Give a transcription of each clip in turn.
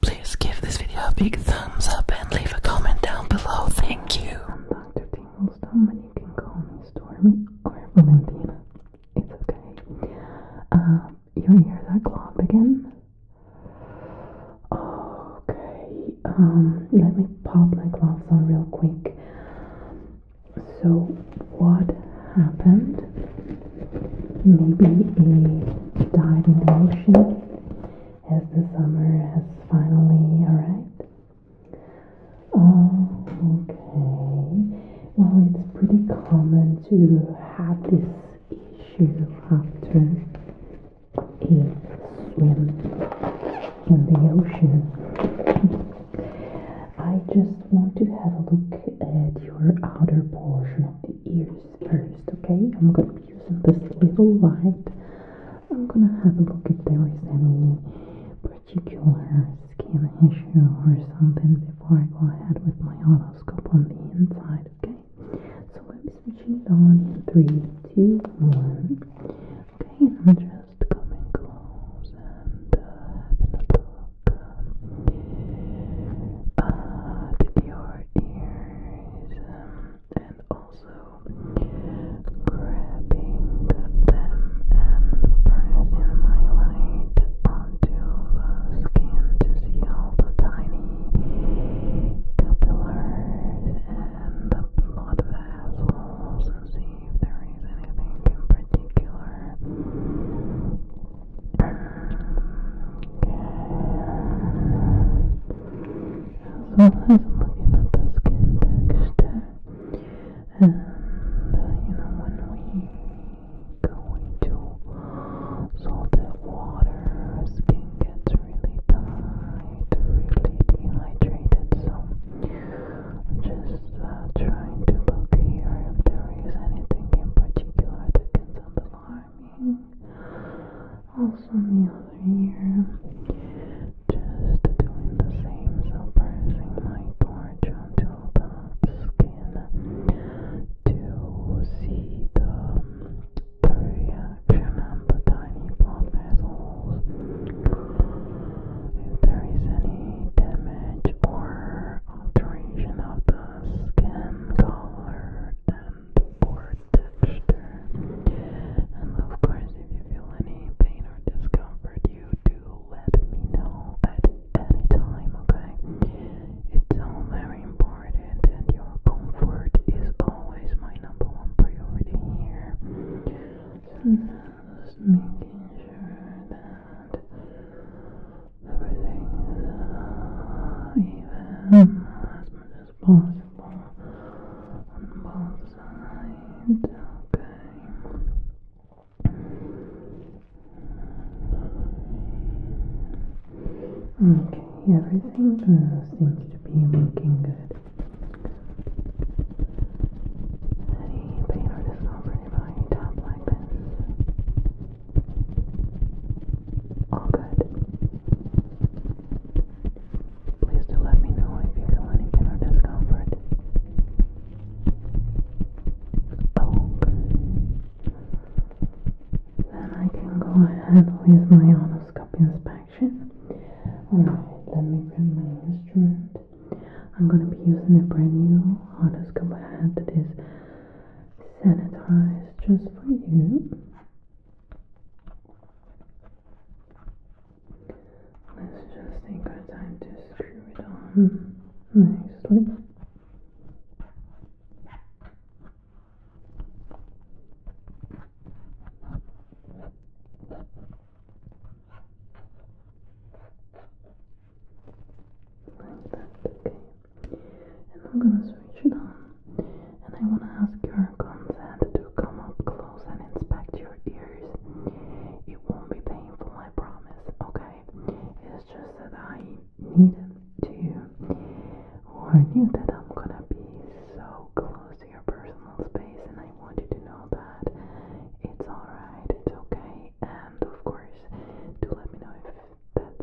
Please give this video a big thumbs up and leave a comment down below. Thank you. I'm Dr. Tinglestone, and you can call me Stormy or Valentina. It's okay. Um, your ears are clogged again. Okay. Um, let me pop my gloves on real quick. So, what happened maybe a dive in the ocean as the summer has finally arrived. Oh, okay. Well, it's pretty common to have this issue after a swim in the ocean. I just want to have a look at your outer portion of the ears first, okay? I'm going to be using this little light. I'm going to have a look if there is any particular skin issue or something before I go ahead with my otoscope on the inside, okay? So I'm switching it on in 3, 2, Okay, I'm just coming close and uh, having a look at um, uh, your ears situation and also grabbing them and pressing my light onto the skin to see all the tiny capillaries and the blood vessels to see if there is anything in particular as well as looking at the skin texture and you know when we go into salted water skin gets really tight, really dehydrated so just uh, trying to look here if there is anything in particular that gets on warming. Also, the other ear, just doing the same, so pressing my torch onto the skin to see the reaction on the tiny blood vessels. If there is any damage or alteration of the skin color, um, of course, if you feel any pain or discomfort, you do let me know at any time, okay? It's all very important, and your comfort is always my number one priority here. So, just making sure that everything even as much as possible on both sides, okay? Okay, everything seems to be looking good. Any pain or discomfort if I tap all good. Please do let me know if you feel any pain or discomfort. Okay. Then I can go ahead with my endoscope inspection. Alright, let me grab my instrument. I'm gonna be using a brand new endoscope head that is sanitized just for you. Let's just take our time to screw it on nicely. Like that, okay. I'm gonna switch it on. And I wanna ask your consent to come up close and inspect your ears. It won't be painful, I promise, okay? It's just that I needed to or knew that I'm gonna be so close to your personal space, and I want you to know that it's alright, it's okay, and of course, do let me know if that's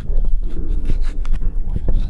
just double check, okay? Okay,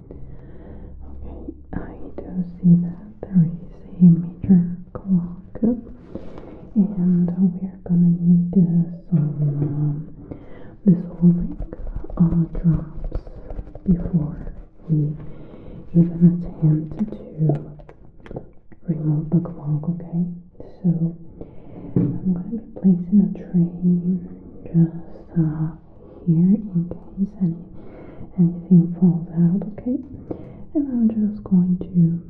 Okay, I do see that there is a major clock, and we are gonna need uh, some uh, um, dissolving uh, drops before we even attempt to remove the clock. Okay, so I'm gonna be placing a tray just uh, here in case any anything falls out, okay? And I'm just going to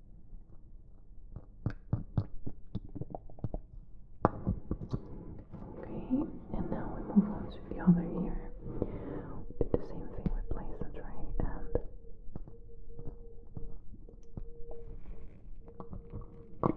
Okay, and now we move on to the other ear. We do the same thing, we place the tray and Okay,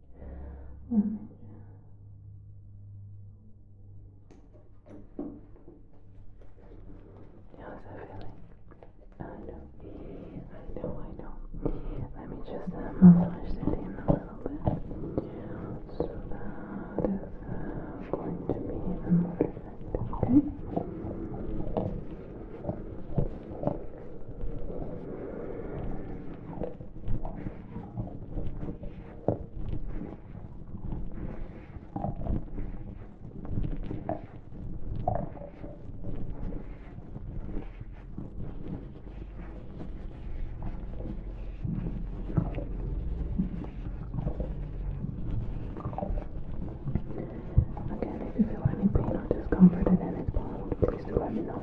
Let me How's that feeling? I know. I know, I know. Let me just uh, massage that in a little bit. So that is uh, going to be even more effective, okay? Okay. Again, if you feel any pain or discomfort at any point, please do let me know.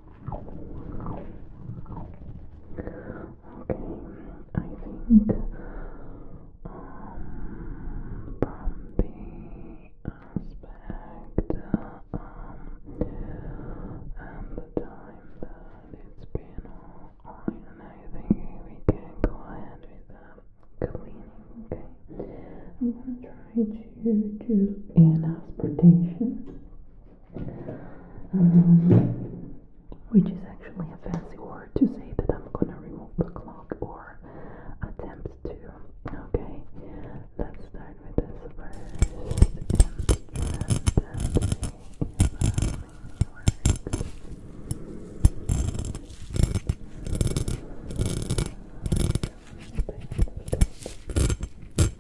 think um, from the aspect and the time that it's been online, I think we can go ahead with that okay? I'm gonna try to do an um, which is actually a fancy word to say that I'm gonna remove the clock or attempt to. Okay, let's start with this first instrument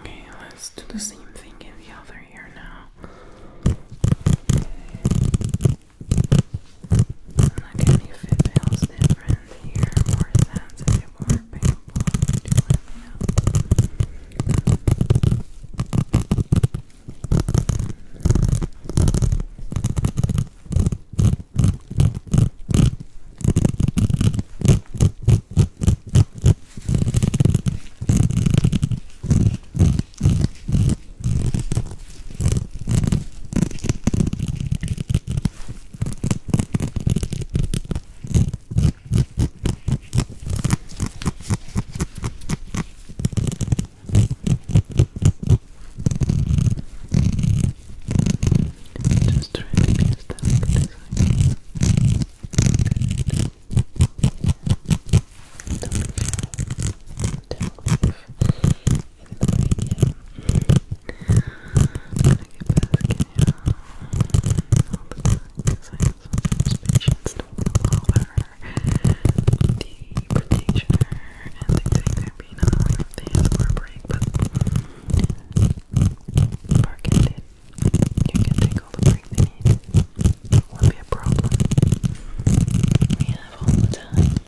Okay, let's do the same thing in the other ear now. Okay. Look at me feels different to hear more sounds if you are available, do let me know. Just try to be as delicate as I can. Don't be shy. Don't leave. I don't allow the practitioner and they take their peanut oil if they ask for a break, but bargain You can take all the break they need. It won't be a problem. We all the time.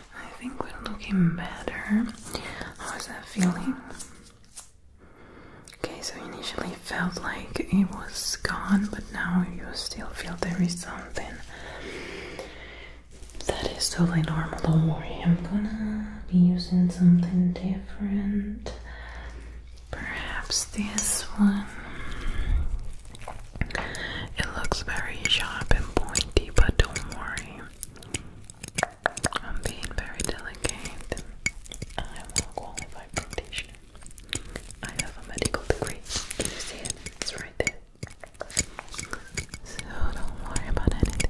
I think we're looking better. How is that feeling? Okay, so initially felt like it was gone, but now you still feel there is something. That is totally normal, don't worry. I'm gonna be using something different. Perhaps this one. It looks very sharp and pointy, but don't worry. I'm being very delicate. I am a qualified practitioner. I have a medical degree. Can you see it? It's right there. So don't worry about anything.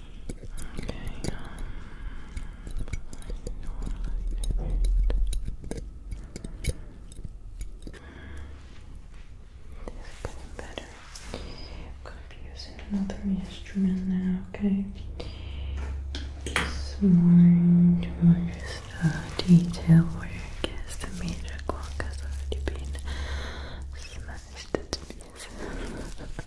getting better. I'm going to be using another instrument now, okay? It's more, just a uh, detail where I guess the major clock has already been smashed to pieces.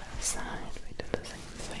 other side, we do the same thing.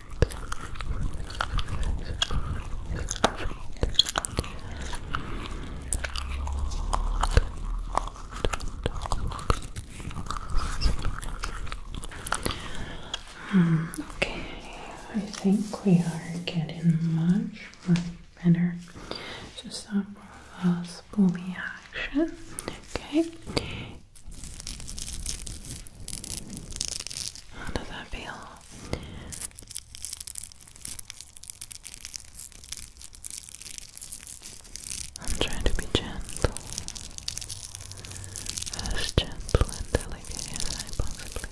Hmm, okay, I think we are getting much, much better. Just a last pulley action. Okay. How does that feel? I'm trying to be gentle, as gentle and delicate as I possibly can.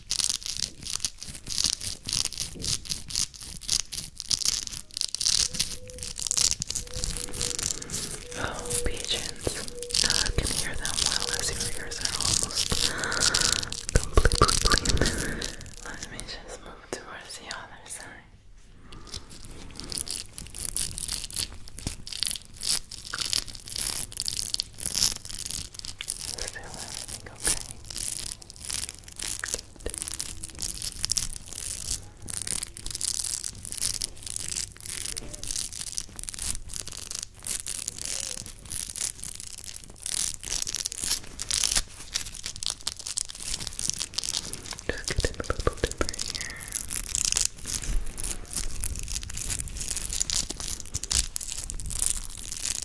Oh, pigeons. Now I hear them well as your are almost completely clean. Let me just move towards the other side. Is there everything okay? Just get in a little deeper here. Okay.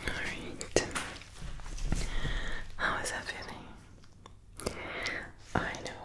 Alright. How is that feeling? I know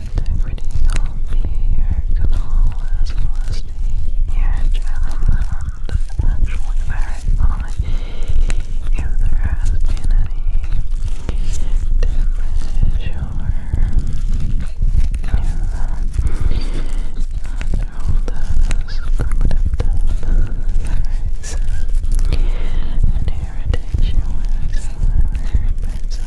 integrity of the canal as well as the ear channel found actually verify if there has been any damage or and irritation whatsoever, but so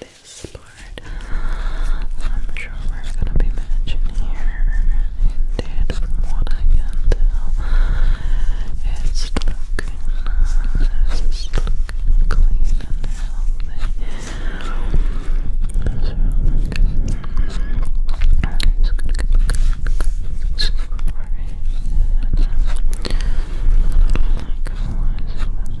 this part. I'm sure we gonna be matching here. Indeed, from what I can tell, it's looking nice. looking clean and healthy. So, I'm just gonna get Sorry. And, um, like,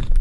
Alright,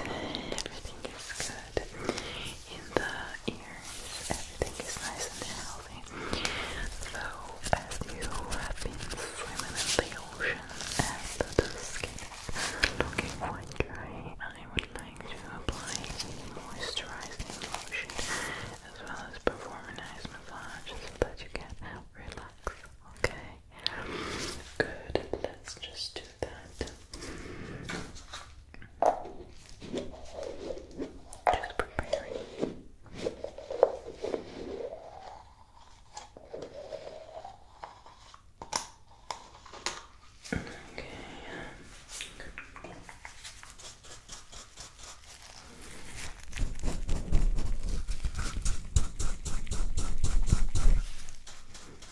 everything is good in the ears, everything is nice and healthy. So, as you have been swimming in the ocean and the skin looking quite dry, I would like to apply a moisturizing lotion as well as perform a nice massage so that you can relax. Okay, good. Let's just do that. Just preparing. Okay. Okay.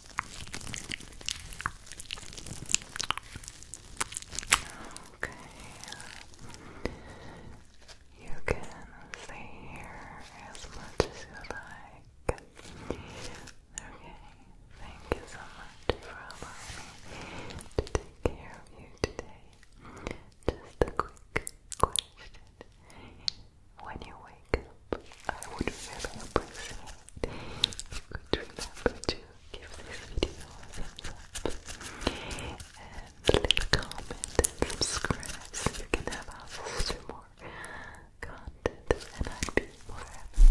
Okay. You can stay here as much as you like. Okay. Thank you so much for allowing me to take care of you today. Just a quick question. When you I would really appreciate it if you could remember to give this video a thumbs up and leave a comment and subscribe so you can have access to more content and I'd be forever,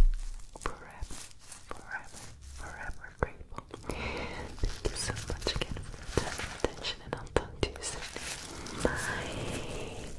forever, forever, forever grateful. Thank you so much again for your attention and I'll talk to you soon. Bye!